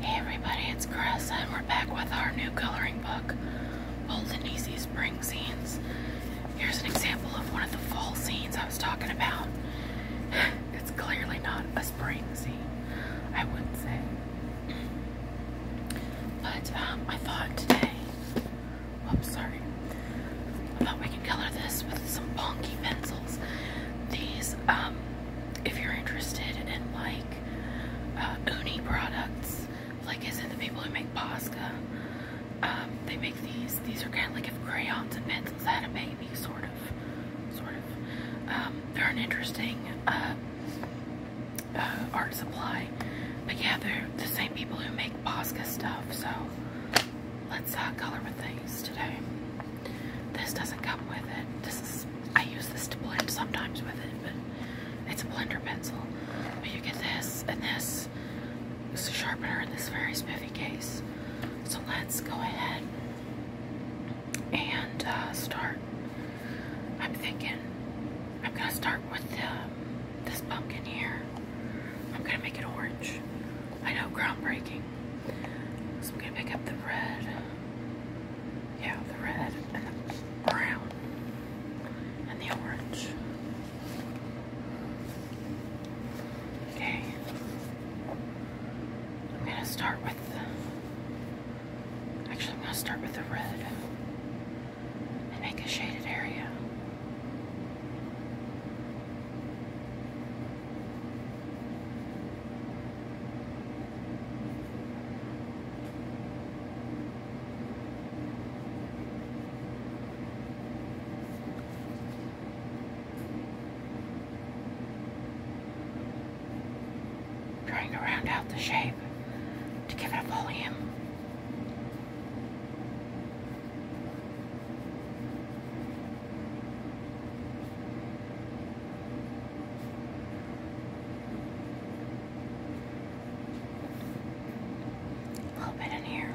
Hey everybody, it's Chris, and we're back with our new coloring book, Old and Easy Spring Scenes. Here's an example of one of the fall scenes I was talking about. It's clearly not a spring scene, I would not say. But um, I thought today, whoops, sorry, I thought we could color this with some bonky pencils. These um, if you're interested in like uh, uni products, like as in the people who make Posca, um, they make these. These are kind of like if crayons and pencils had a baby, sort of, sort of. Um, they're an interesting uh, uh, art supply, but yeah, they're the same people who make Posca stuff. So let's uh, color with them today. This doesn't come with it. This is I use this to blend sometimes with it, but it's a blender pencil. But you get this and this. This sharpener in this very spiffy case. So let's go ahead and uh, start. I'm thinking I'm gonna start with the, um, this pumpkin here. I'm gonna make it orange. I know, groundbreaking. So I'm gonna pick up the red. Yeah, the red and the brown and the orange. Okay. I'm gonna start with actually I'm gonna start with the red and make a shaded area trying to round out the shape to give it a volume. A little bit in here.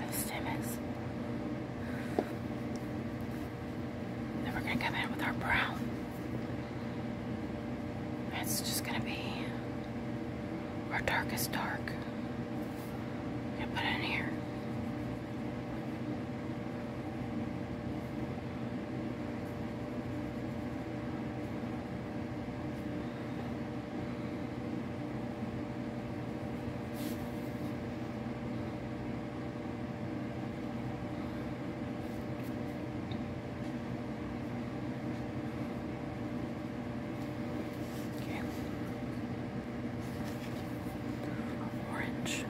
Those stamens. Then we're going to come in with our brow. That's just going to be our darkest dark. I'm put it in here. Okay. Orange.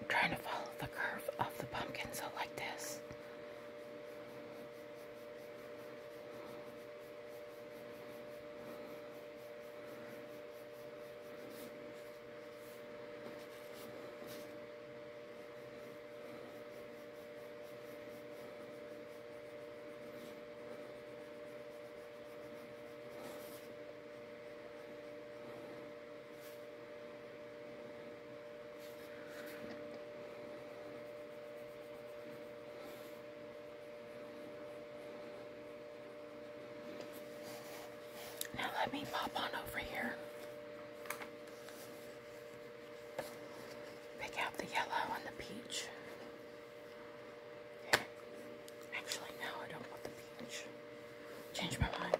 I'm trying to follow the curve of the pumpkin, so like this. Now let me pop on over here Pick out the yellow and the peach. Actually, no, I don't want the peach. Change my mind.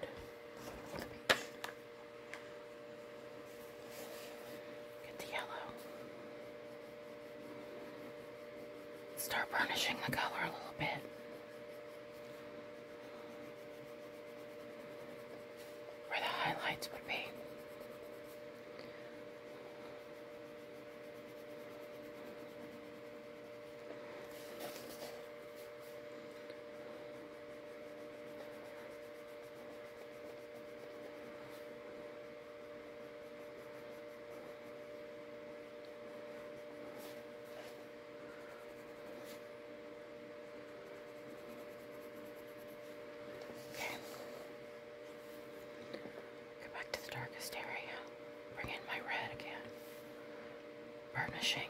Get the yellow. Start burnishing the color a little bit where the highlights would be. Okay. Go back to the darkest area. Bring in my red again. Burnishing. Okay.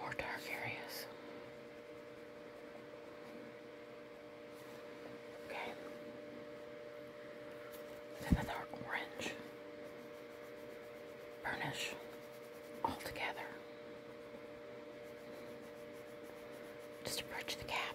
More dark areas. Okay. Then another orange. Burnish all together. Just approach the cap.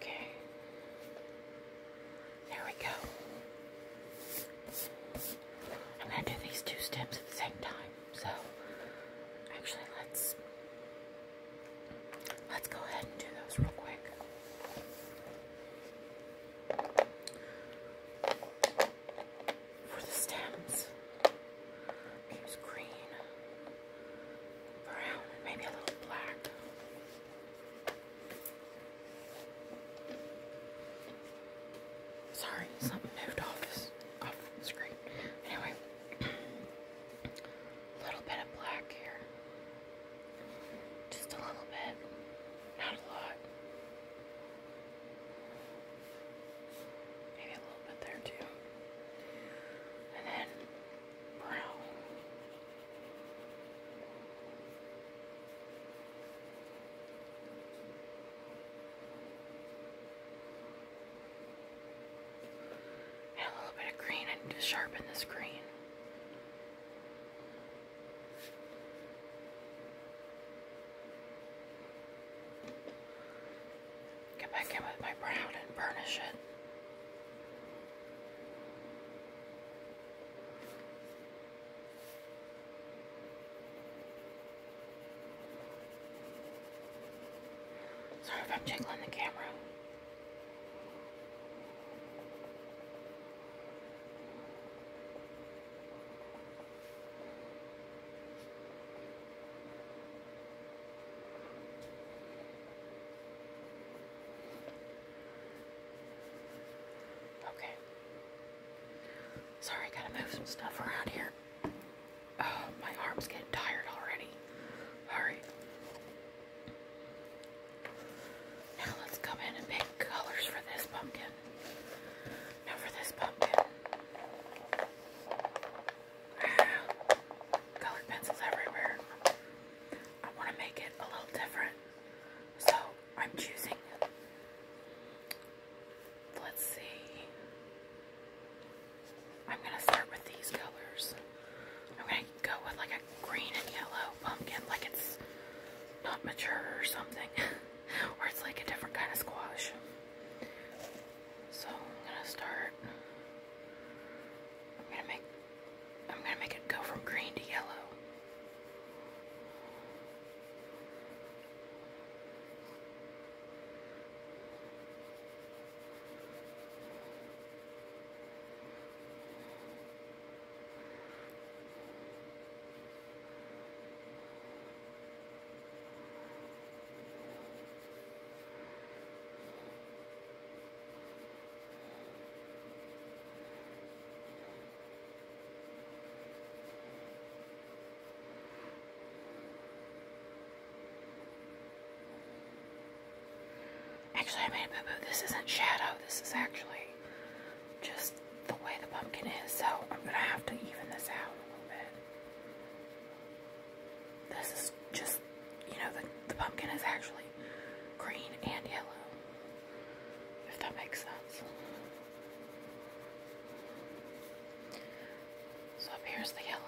Okay. There we go. I'm going to do these two steps at the same time. So, actually, let's let's go ahead and do those real quick for the stems. There's green, brown, maybe a little black. Sorry, something moved off the screen. Anyway, a little bit of black here. Just a little bit. Not a lot. Maybe a little bit there too. And then brow. And a little bit of green. I need to sharpen this green. Get back in with my brown and burnish it. Sorry if I'm jiggling the camera. Okay. Sorry, gotta move some stuff around here. Oh, my arm's getting tired already. Alright. Now let's come in and pick colors for this pumpkin pumpkin. Now for this pumpkin. Ah, pencils everywhere. I want to make it a little different. So I'm choosing, let's see, I'm going to start with these colors. I'm going to go with like a green and yellow pumpkin, like it's not mature or something. or it's like a different kind of squash. So I'm gonna start. I'm gonna make. I'm gonna make it go from green to yellow. Actually, I made a boo-boo. This isn't shadow. This is actually just the way the pumpkin is, so I'm gonna have to even this out a little bit. This is just, you know, the, the pumpkin is actually green and yellow, if that makes sense. So up here's the yellow.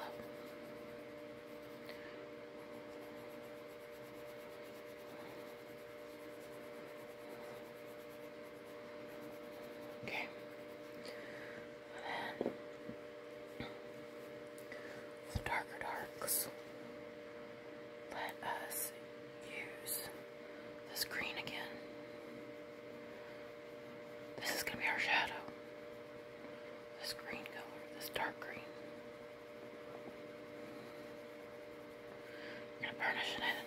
Okay. And then the darker darks let us use this green again. This is going to be our shadow. This green color, this dark green. I'm going to burnish it in.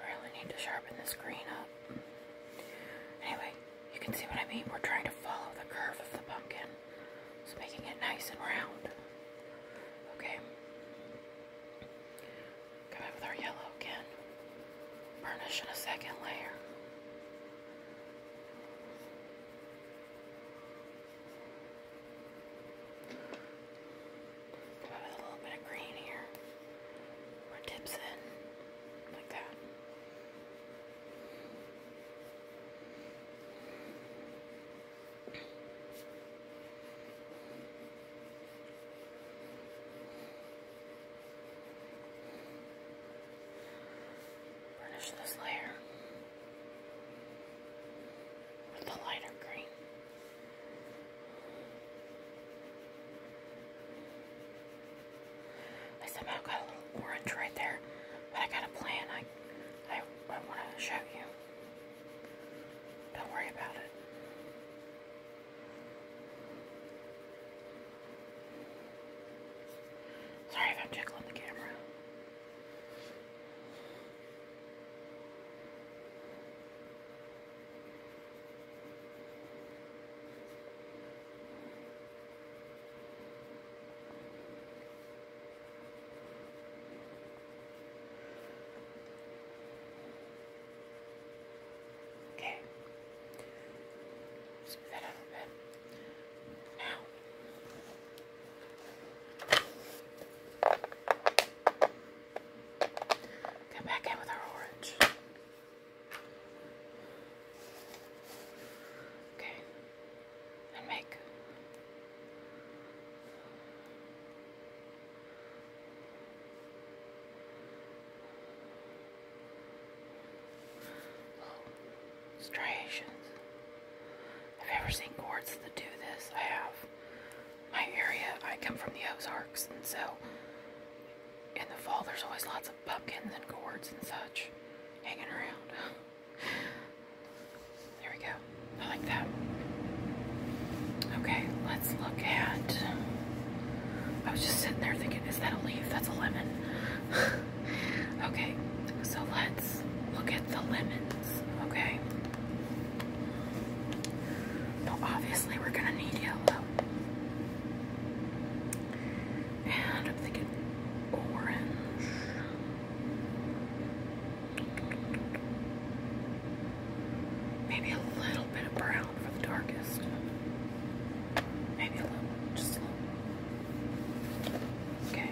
I really need to sharpen this green up. Anyway, you can see what I mean. We're trying to follow the curve of the pumpkin. So making it nice and round. Okay. Come in with our yellow again. Burnish in a second layer. Come in with a little bit of green here or dips in, like that. Finish this layer with the lighter green. I somehow got a little orange right there, but I got a plan. I, I, want to show you. Don't worry about it. Sorry if I'm jiggling the camera. Okay, scoop that out a bit. Now, come back in with our orange. Okay. And make. Striations. I've ever seen cords that do this. I have. My area, I come from the Ozarks, and so in the fall, there's always lots of pumpkins and gourds and such hanging around. there we go. I like that. Okay, let's look at. I was just sitting there thinking, is that a leaf? That's a lemon. okay, so let's look at the lemons, okay? Now, obviously, we're gonna need yellow. And I'm thinking orange. Maybe a little bit of brown for the darkest. Maybe a little, just a little. Okay.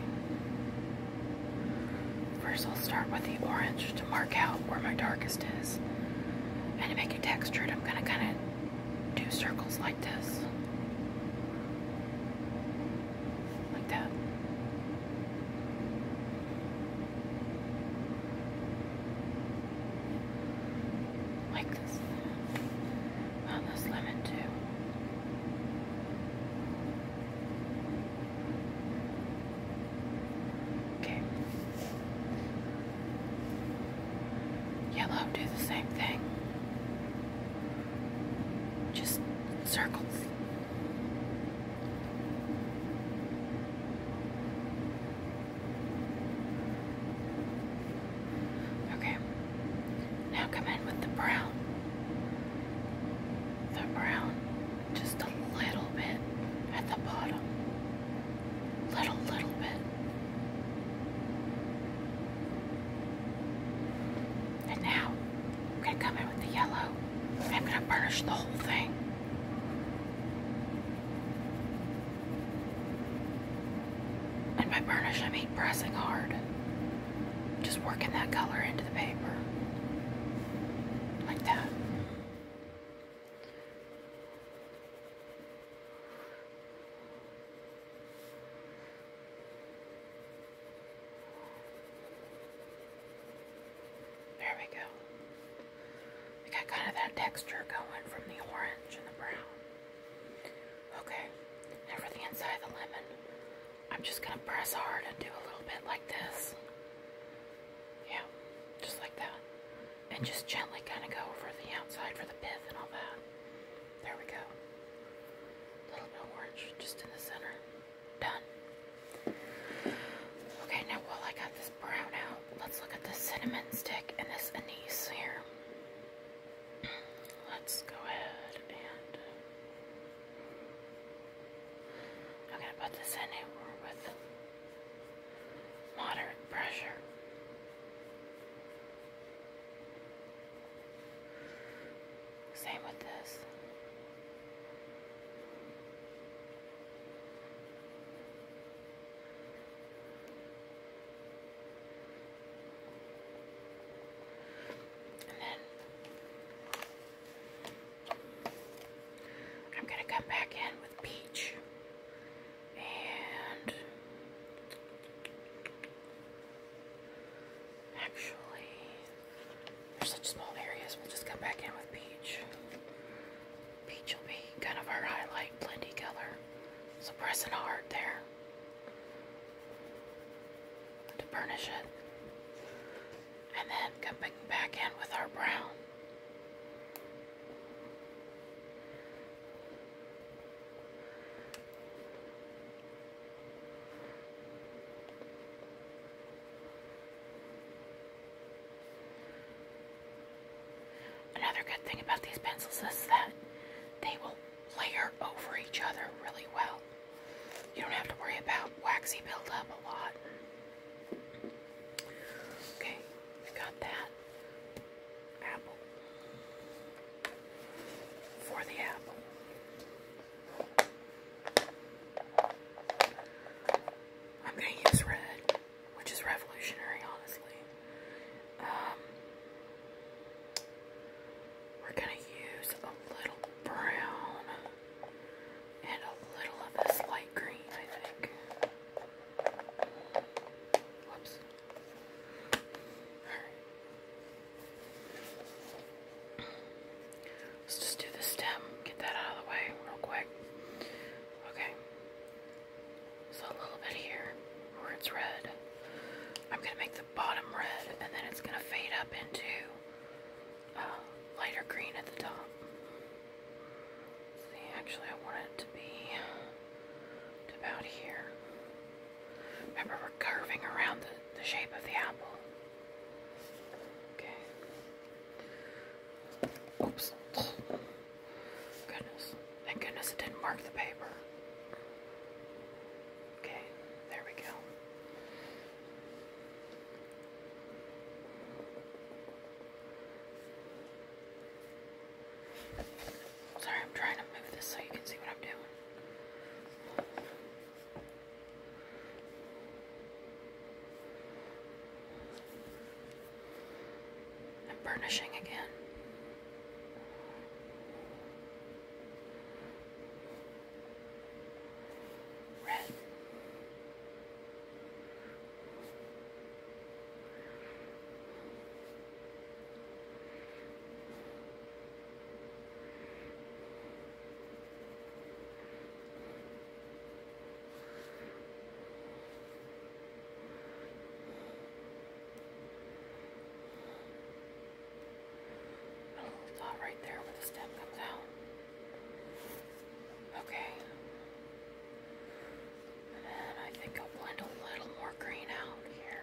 First, I'll start with the orange to mark out where my darkest is. And to make it textured, I'm going to kind of Two circles like this. Like that. Like this. On this lemon too. Okay. Yellow, do the same thing. Just circles. Okay, now come in with the brown. The brown, just a little bit at the bottom. Little, little bit. And now, I'm going to come in with the yellow. I'm going to burnish the whole thing. And by burnish, I mean pressing hard. Just working that color into the paper. Like that. There we go. We got kind of that texture going from the orange and the brown. Okay, now inside the lemon, I'm just going to press hard and do a little bit like this. Yeah, just like that and just gently kind of go over the outside for the pith and all that. There we go. little bit orange just in the center. Done. Okay, now while I got this brown out, let's look at this cinnamon stick and this anise here. Let's go ahead and uh, I'm going to put this in with moderate pressure. Same with this. And then I'm going to come back in with peach and actually, there's such small areas. We'll just come back in with peach. Peach will be kind of our highlight, blendy color. So pressing hard there to burnish it. And then coming back in with our brown. Another good thing about these pencils is that they will layer over each other really well. You don't have to worry about waxy buildup a lot. Okay, we got that apple for the apple. I'm going to use red, which is revolutionary, honestly. Um, we're going to use a little brown and a little of this light green, I think. Whoops. Let's just do the stem. Get that out of the way real quick. Okay. So a little bit here where it's red. I'm going to make the bottom red and then it's going to fade up into uh, lighter green at the top actually I want it to be about here. Remember we're curving around the shape of the apple. Okay. Oops. Goodness. Thank goodness it didn't mark the paper. Okay, there we go. Sorry, I'm trying to move this so you can see what I'm doing. I'm burnishing again. Red little oh, dot right there where the stem comes out. Okay. And I think I'll blend a little more green out here.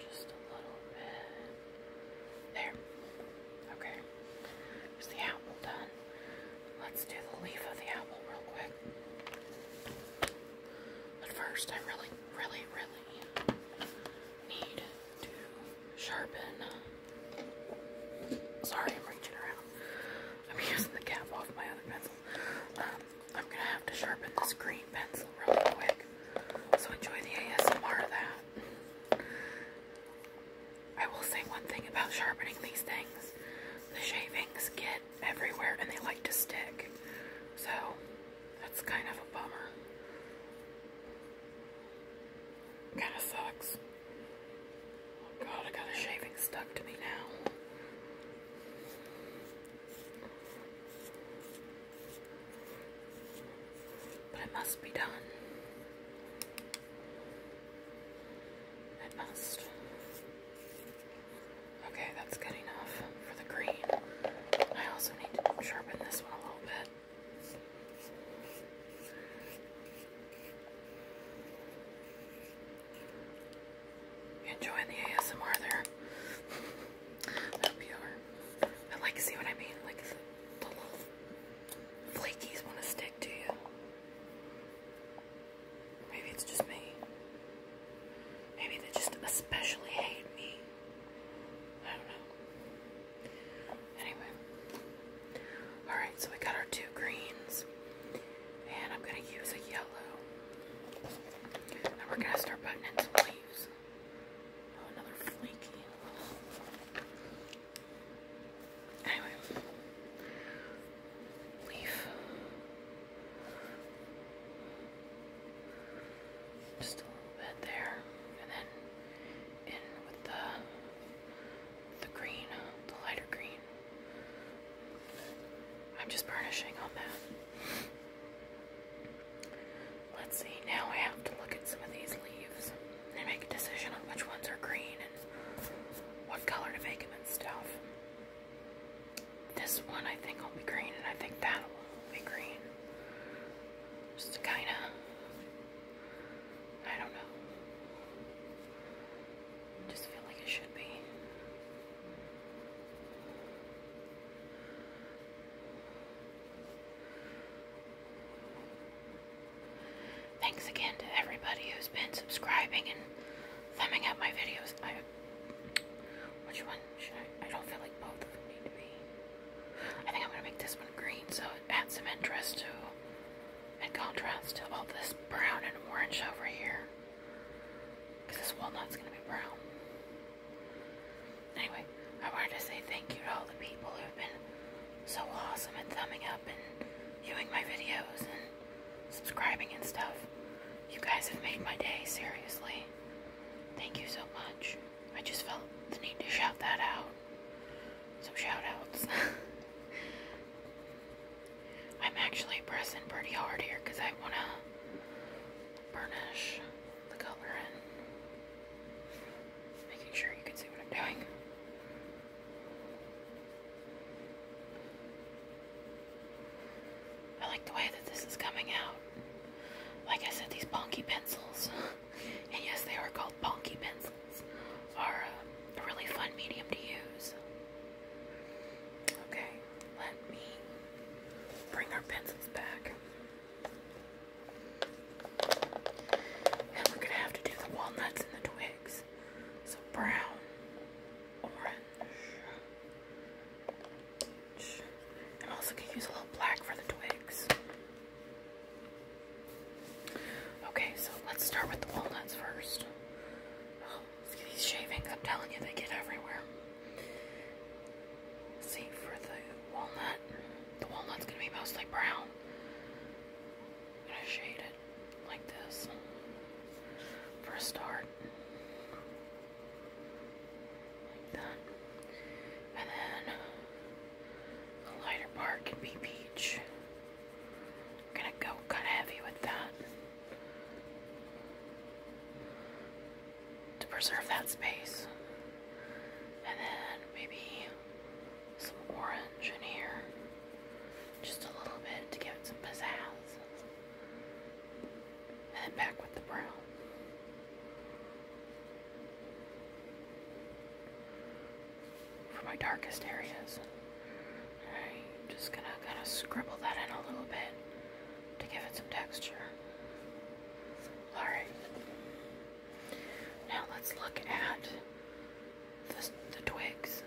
Just a little bit. There. Okay. Is the apple done? Let's do the leaf of the apple real quick. But first, I really, really, really need to sharpen. Sorry, I'm reaching around. I'm using the cap off my other pencil. Um, I'm gonna have to sharpen this green pencil real quick. So enjoy the ASMR that. I will say one thing about sharpening these things. The shavings get everywhere and they like to stick. So that's kind of a bummer. Kinda sucks. Oh god, I got a shaving stuck to me now. But it must be done. It must. Okay, that's good enough for the green. I also need to sharpen this one a little bit enjoying the ASMR there. I hope you see what I mean? Like, the flakies want to stick to you. Maybe it's just me. Maybe they just especially hate me. I don't know. Anyway. Alright, so we got our two greens. And I'm going to use a yellow. And we're going to start putting in some leaves. Oh, another flaky. Anyway. Leaf. Just a little bit there. And then in with the, the green, the lighter green. I'm just burnishing on that. Let's see, now I have to look at some of these leaves and make a decision on which ones are green and what color to make them in. stuff. This one I think will be green and I think that will be green. Just to kind of, I don't know. Just feel like it should be. Thanks again to everybody who's been subscribing and thumbing up my videos. I, which one should I? I don't feel like both of them need to be. I think I'm going to make this one green so it adds some interest to and contrast to all this brown and orange over here. Because this walnut's going to be brown. Anyway, I wanted to say thank you to all the people who have been so awesome and thumbing up and viewing my videos and subscribing and stuff. You guys have made my day, seriously. Thank you so much. I just felt the need to shout that out. Some shout I'm actually pressing pretty hard here because I want to burnish the color in. Making sure you can see what I'm doing. I like the way that this is coming out. Like I said, these Ponky pencils, and yes, they are called Ponky pencils, are uh, a really fun medium to use. Okay, let me bring our pencils back. And we're gonna have to do the walnuts and the twigs. So brown, orange. And also can use a little black for the twigs. Okay, so let's start with the walnuts first. Oh, these shavings, I'm telling you, they get everywhere. See, for the walnut, the walnut's going to be mostly brown. I'm going to shade it like this for a start. Like that. And then the lighter part can be peach. I'm going to go kind of heavy with that to preserve that space. And then maybe some orange in here. Just a little bit to give it some pizzazz. And then back with the brown. For my darkest areas. Alright, just gonna kind of scribble that in a little bit to give it some texture. Alright. Now let's look at the, the twigs.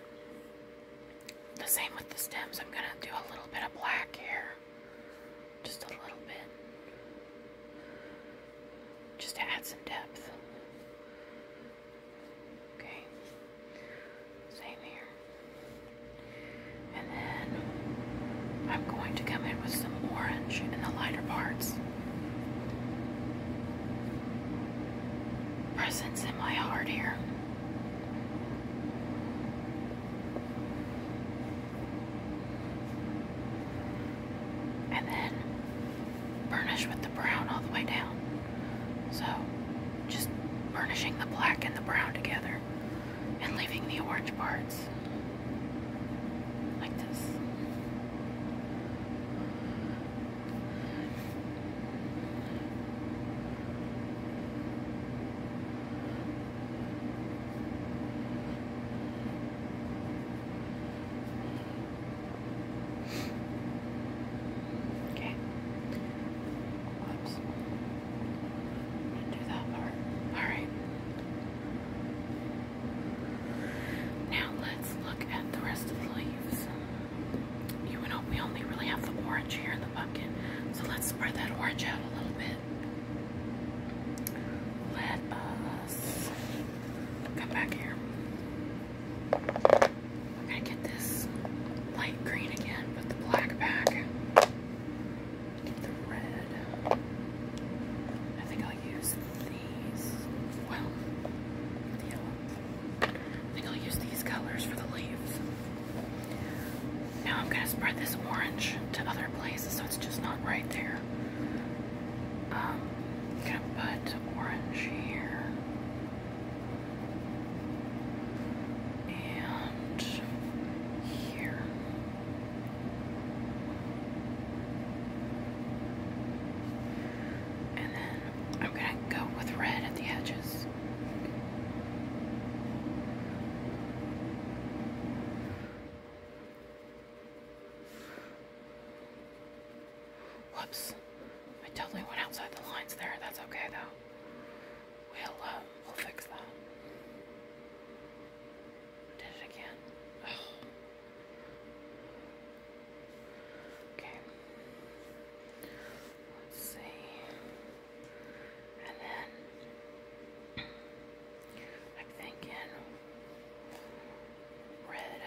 The same with the stems. I'm gonna do a little bit of black here. Just a little bit. Just to add some depth. Okay. Same here. And then I'm going to come in with some orange in the lighter parts. Presence in my heart here. And then burnish with the brown all the way down. So just burnishing the black and the brown together and leaving the orange parts like this. Okay. Oops. Do that part. Alright. Now let's look at the rest of the leaves. You know we only really have the orange here in the bucket. So let's spread that orange out a little bit. Let us come back here. I'm gonna get this light green again, but the black back. Get the red. I think I'll use these. Well, the yellow. I think I'll use these colors for the leaves. Now I'm gonna spread this orange to other places so it's just not right there. Um, gonna put orange here and here. And then I'm going to go with red at the edges. Whoops. I totally went outside the lines there. That's okay though we'll um, we'll fix that. Did it again. Okay. Let's see. And then I'm thinking red.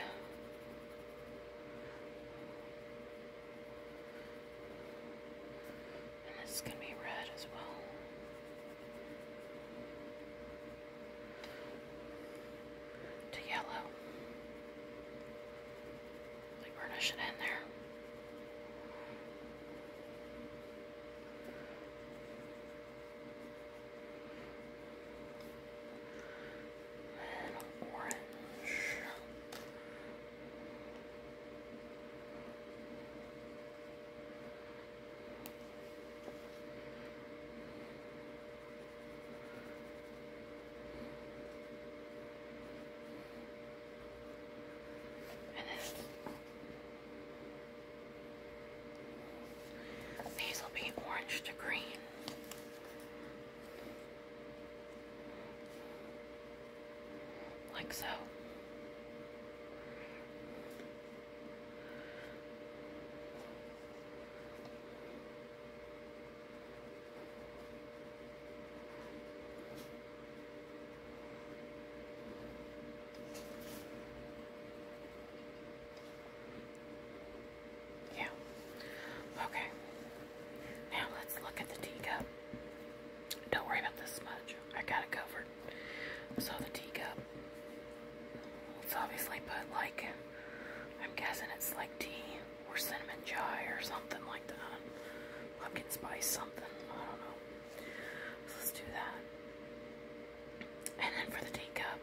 And this is going to be red as well. To yellow. Like burnish it in there. And orange. And then these will be orange to green like so. Yeah. Okay. Now let's look at the teacup. Don't worry about this much. I got it covered. So the teacup, it's obviously put like, I'm guessing it's like tea or cinnamon chai or something like that. Pumpkin spice something. I don't know. let's do that. And then for the teacup,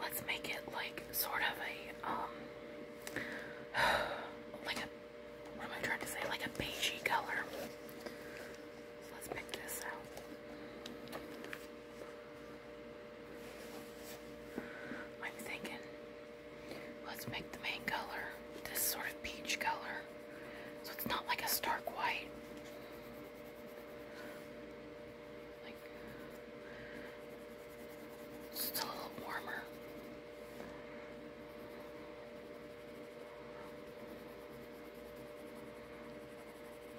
let's make it like sort of a, um, like a what am I trying to say? Like a beigey color. let's pick this out. I'm thinking, let's make the main color this sort of peach color. So it's not like a stark white. Like, just a little warmer.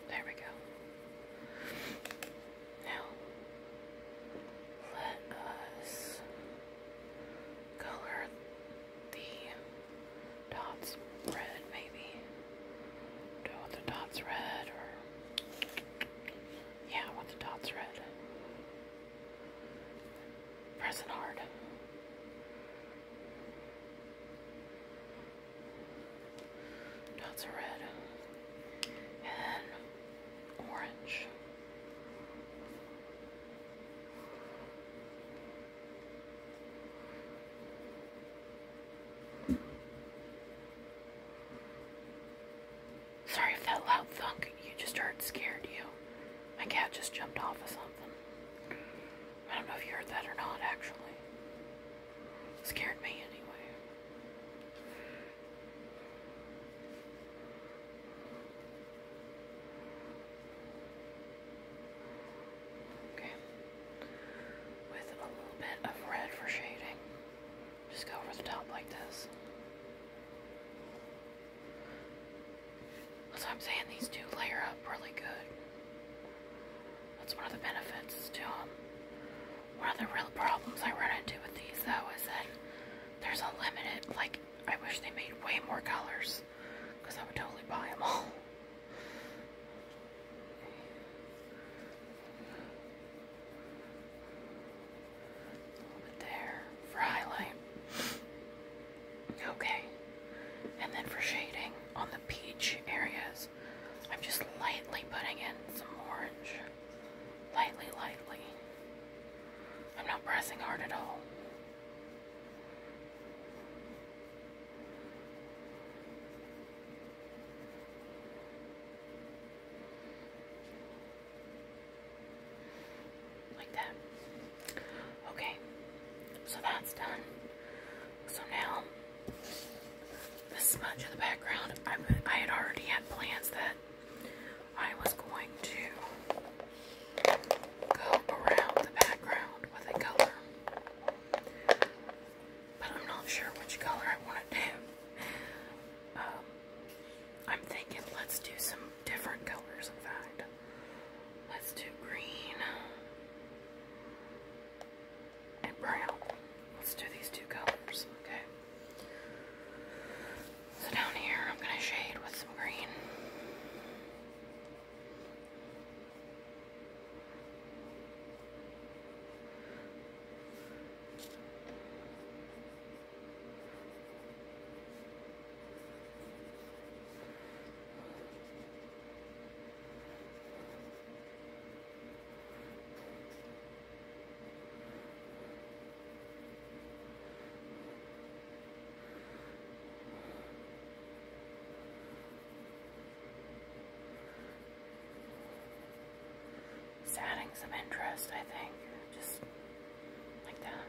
There we go. Now, let us color the dots red, maybe. Do I the dots red or. Yeah, I the dots red. Pressing hard. Dots are red and orange. Sorry if that loud thunk you just heard scared you. My cat just jumped off of something. I don't know if you heard that or not, actually. Scared me anyway. Okay. With a little bit of red for shading, just go over the top like this. That's what I'm saying, these do layer up really good. That's one of the benefits to them. Um, one of the real problems I run into with these though is that there's a limited, like, I wish they made way more colors because I would totally buy them all. A little bit there for highlight. Okay. And then for shading on the peach areas, I'm just lightly putting in some orange. Lightly, lightly. I'm not pressing hard at all like that. Okay, so that's done. So now, this much of the background, I, I had already had plans that I was going to go around the background with a color. But I'm not sure which color I want to do. Um, I'm thinking let's do some different colors, in fact. Let's do green and brown. Let's do these two colors, okay? So down here, I'm going to shade with some green. It's adding some interest, I think, just like that.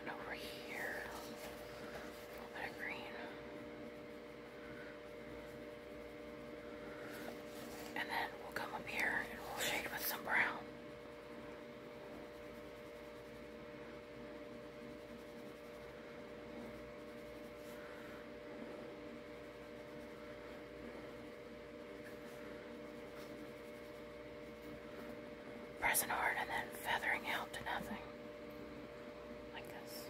And over here, a bit of green. And then we'll come up here and we'll shade with some brown pressing hard and then feathering out to nothing. Like this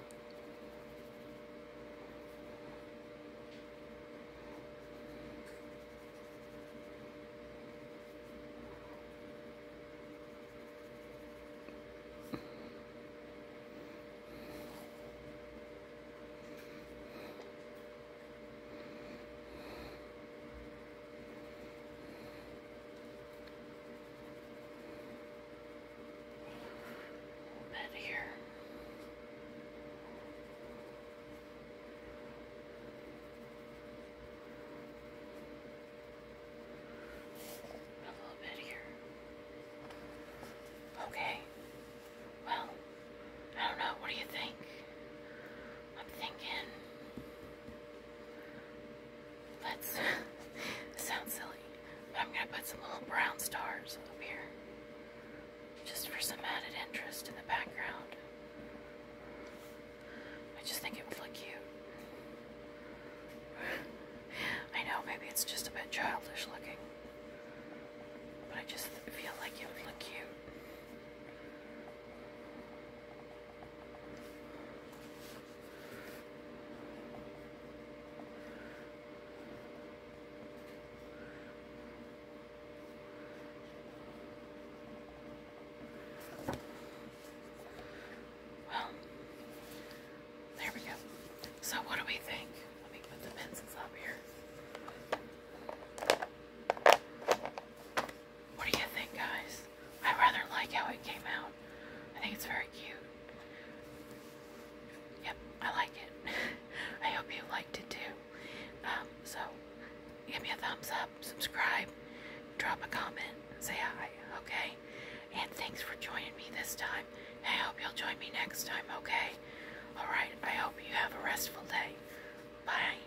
bit here. A little bit here. Okay. Well, I don't know. What do you think? I'm thinking. That's sounds silly, but I'm gonna put some little brown stars up here just for some added interest in the background. I just think it would look cute. I know, maybe it's just a bit childish looking, but I just feel like it would look cute there we go. So, what do we think? Let me put the pencils up here. What do you think, guys? I rather like how it came out. I think it's very cute. Yep, I like it. I hope you liked it too. Um, so, give me a thumbs up, subscribe, drop a comment, say hi, okay? And thanks for joining me this time. I hope you'll join me next time, okay? Alright, I hope you have a restful day. Bye.